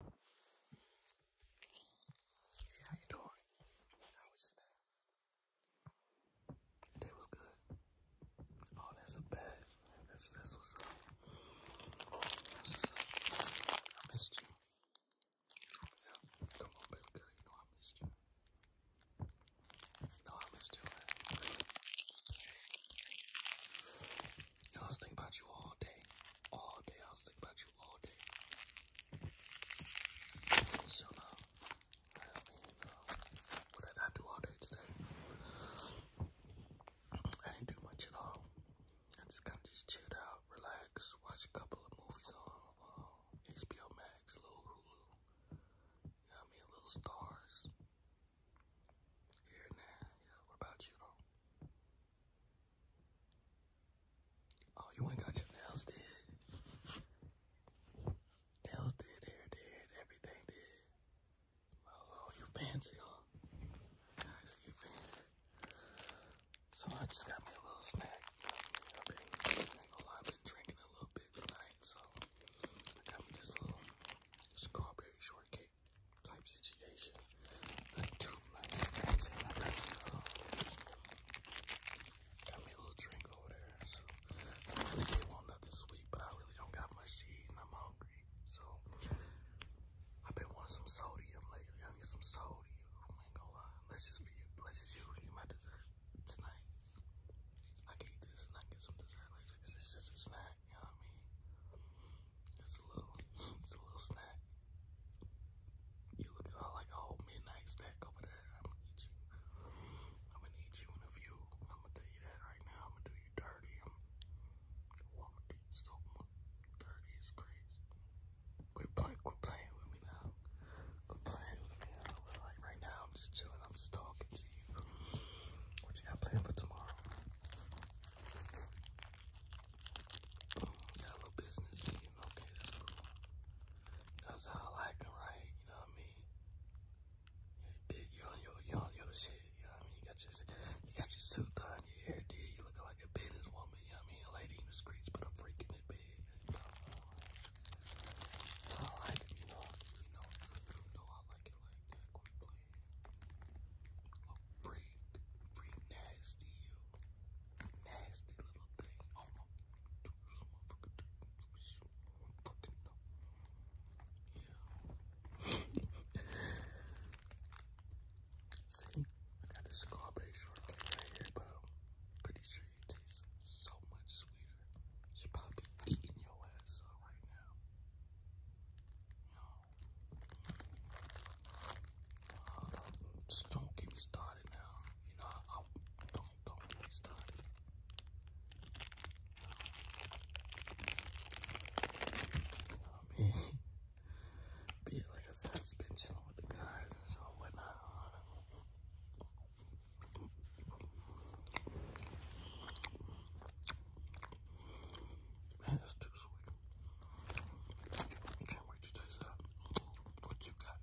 Hey, how you doing? How was your day? Your day was good. Oh, that's a bad. That's that's what's up. What's up? I missed you. Yeah. Come on, baby girl. You know I missed you. No, I missed you. Man. You know, I was thinking about you all day all day. I was thinking about you all day. So uh, I mean, uh, what did I do all day today? I didn't do much at all. I just kind of just chilled out, relax, watch a couple of movies on uh, HBO Max, a little Hulu. You know what A little Stars. Here and what about you, Oh, you ain't got your nails did. Nails did, hair did, everything did. Oh, oh you fancy, huh? I So I just got me a little snack. I've I've been drinking a little bit tonight, so I got me this little strawberry shortcake type situation. Got me a little drink over there. I really did want nothing sweet, but I really don't got much to eat and I'm hungry. So i been wanting some sodium lately. I need some sodium. ain't gonna lie. Unless you, unless you, you my dessert tonight. I can this and I get some dessert later because it's just a snack. You know what I mean? It's a little, it's a little snack. You look like a whole midnight stack over there. I'm gonna eat you. I'm gonna eat you in a few. I'm gonna tell you that right now. I'm gonna do you dirty. I'm, gonna do so much. Dirty is crazy. Quit playing, quit playing with me now. Quit playing with me now. like right now, I'm just chilling. I'm just talking to you. What you got planned for tomorrow? got a little business meeting. Okay, that's cool. That's how I like right? You know what I mean? You on your, you on your shit. You know what I mean? You got your, you got your suit done, your hair did. You looking like a business woman. You know what I mean? lady in the streets, but a freak in That's how I like You know, you know, you know I like it like that. Quit a free, free nasty you. Nasty little thing. Oh my fucking no. Yeah. See, I got this strawberry shortcake right here, but I'm pretty sure it tastes so much sweeter. should probably be eating your ass up right now don't, just don't get me started now. You know, I, don't don't get me started. I mean, be like I said, been chilling with the guys and so whatnot. Man, that's too sweet. can't wait to taste that. What you got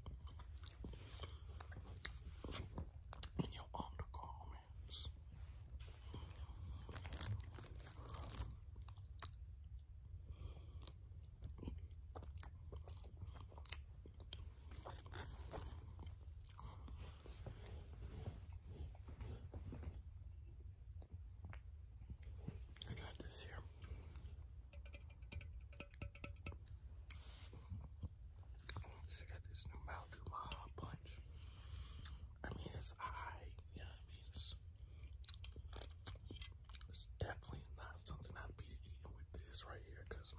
in your undergarments? I got this here. So I got this new Malibu Maha Punch. I mean, it's I, you know what I mean? It's, it's definitely not something I'd be eating with this right here because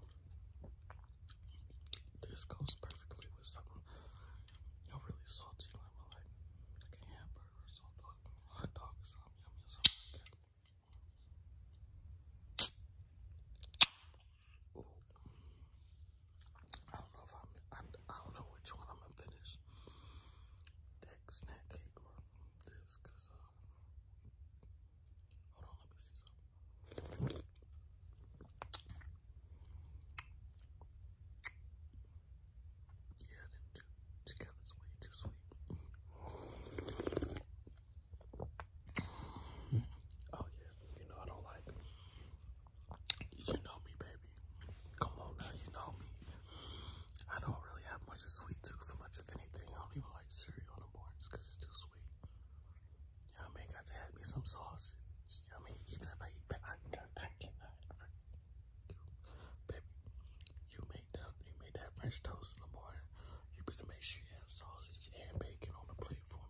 this goes perfectly with something really salty, like like a hamburger or dog, hot dog something yummy something I don't know which one I'm gonna finish. That snack cake or this, cause uh, hold on, let me see something. Yeah, them two together is way too sweet. Oh yeah, you know I don't like You know me, baby. Come on now, you know me. I don't really have much of sweet tooth for much of anything. I don't even like cereal in the mornings because it's too sweet. You know what Got to have me some sausage. You know what I mean? Even if I eat I, I you make that you made that French toast in the morning. You better make sure you have sausage and bacon on the plate for me.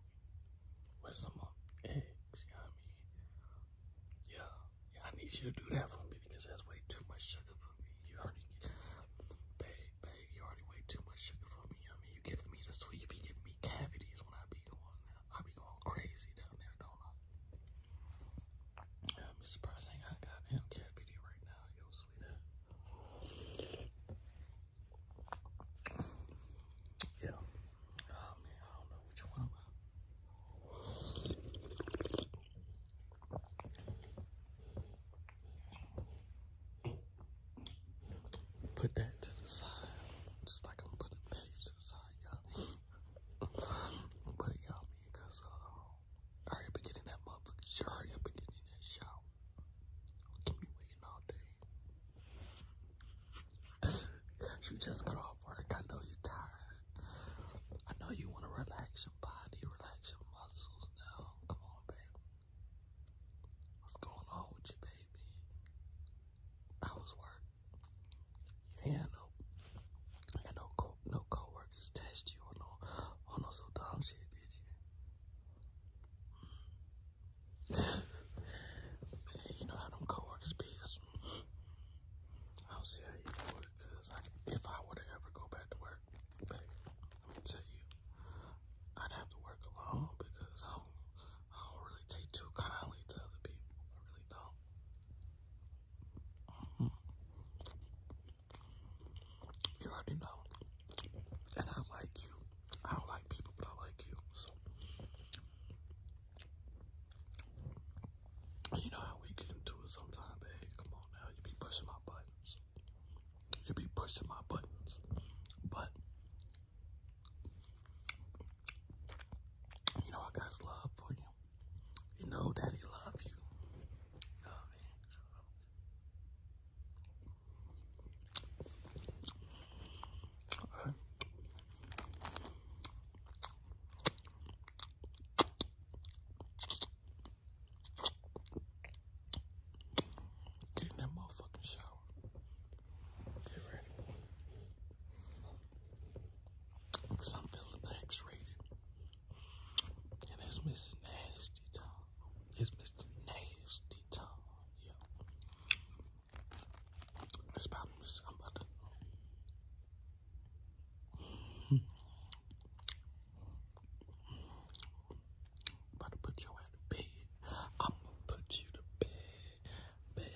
With some um, eggs, you know mean? Yeah, I need you to do that for me because that's way too much sugar for me. You already babe, babe, you already way too much sugar for me me. I mean, you giving me the sweet, you be giving me cavities when I be going I be going crazy down there, don't I? I'm surprised I got a goddamn cavity right now, yo, sweetheart. Yeah. Oh, put that to the side, just like I'm putting patties to the side, y'all. but y'all, cause uh, I hurry up and that motherfucker. Sure, hurry up and that shower. Keep me waiting all day. you just got off work. I know you're tired. I know you want to relax your body, relax your muscles. Now, come on, babe. What's going on with you, baby? I was work. You had no, had no no coworkers test you on no on no so shit, did you? you know how them coworkers be. I don't see how you do it, cause if I were to ever go back to work let me tell you, I'd have to work alone because I don't, really take too kindly to other people. I really don't. Mm-hmm. You already know. And I like you. I don't like people, but I like you. So. You know how we get into it sometimes, babe. Come on now, you be pushing my buttons. You'd be pushing my buttons. But you know I got love for you. You know daddy love you. Get in that motherfucking shower. Get ready. Because I'm feeling X-rated. And that's Mr. Nasty It's Mr. Nasty Yeah. It's about Mr. I'm about to... About to put your ass to bed. I'm gonna put you to bed, bed,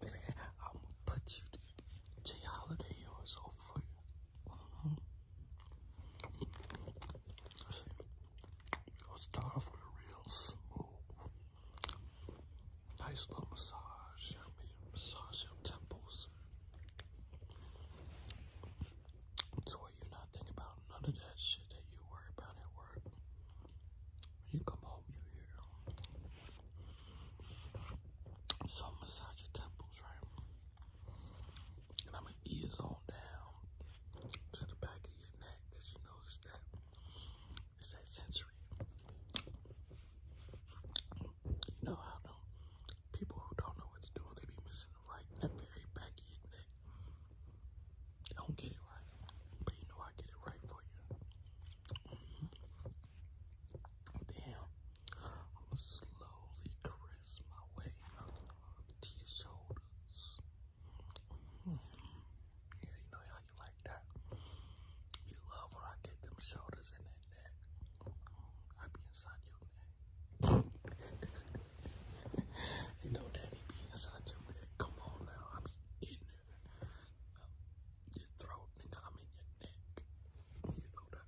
bed. I'm gonna put you to Jay Holiday. You're so free. Mm -hmm. start off with a real smooth, nice little massage. I massage your temples. So what you not think about none of that shit that you worry about at work. When you come home, you hear some massage your temples, right? And I'ma ease on down to the back of your neck, cause you notice that it's that sensory. You know how them People who don't know what to do, they be missing the right in very back neck. don't get it right, but you know I get it right for you. Mm-hmm. Damn, I'm slowly caress my way to your shoulders. Mm-hmm. Yeah, you know how you like that. You love when I get them shoulders in it. I be inside your neck. you know daddy be inside your neck. Come on now, I be in your throat, nigga, I'm in your neck. You know that.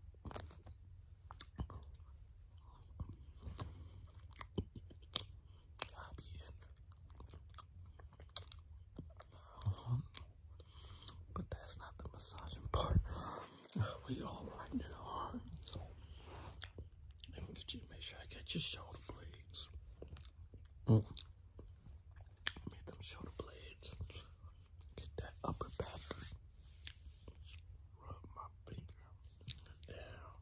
I be in but that's not the massaging part. We all right now. Let me get you. Make sure I get your shoulder blades. Mm. Get them shoulder blades. Get that upper back. Rub my finger down.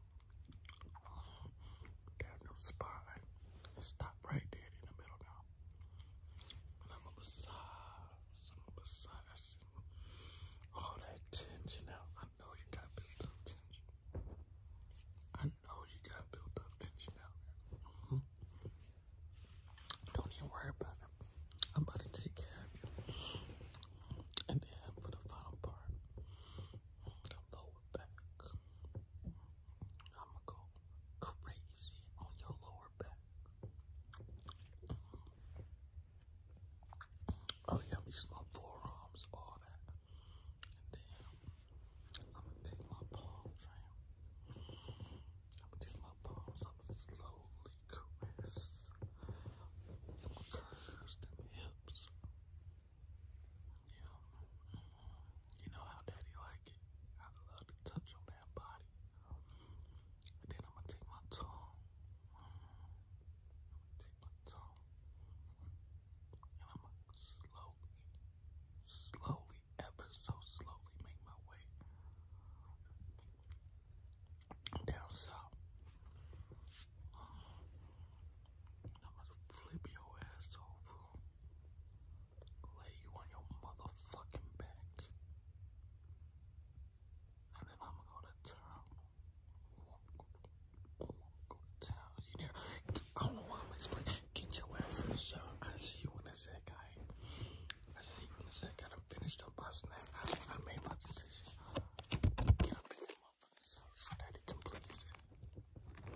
Down your spine. Stop right there in the middle now. I'm a massage. I'm a massage. All that tension out. I know you got built up tension. I know you got built up tension out. Mm Don't even worry about it. I'm about to take care of you. And then for the final part, the lower back. I'ma go crazy on your lower back. Oh yeah, I'm forearms, all that. And I'm gonna take my palms I'm gonna take my palms, I'm gonna slowly caress. I'm gonna curse them hips. You know how daddy like it. I love to touch on that body. then I'm gonna take my tongue. take my tongue. And I'm gonna slowly, slowly, ever so slowly make my way down south. I'm gonna flip your ass over lay you on your motherfucking back. And then I'm gonna go to town. I'm gonna go to town. You know, I don't know why I'm explaining. Get your ass in the shower. I see you in a sec, guy. I see you in a sec. I'm finished up by snack. I, I made my decision. Get up in that motherfucking shower so that it completes it.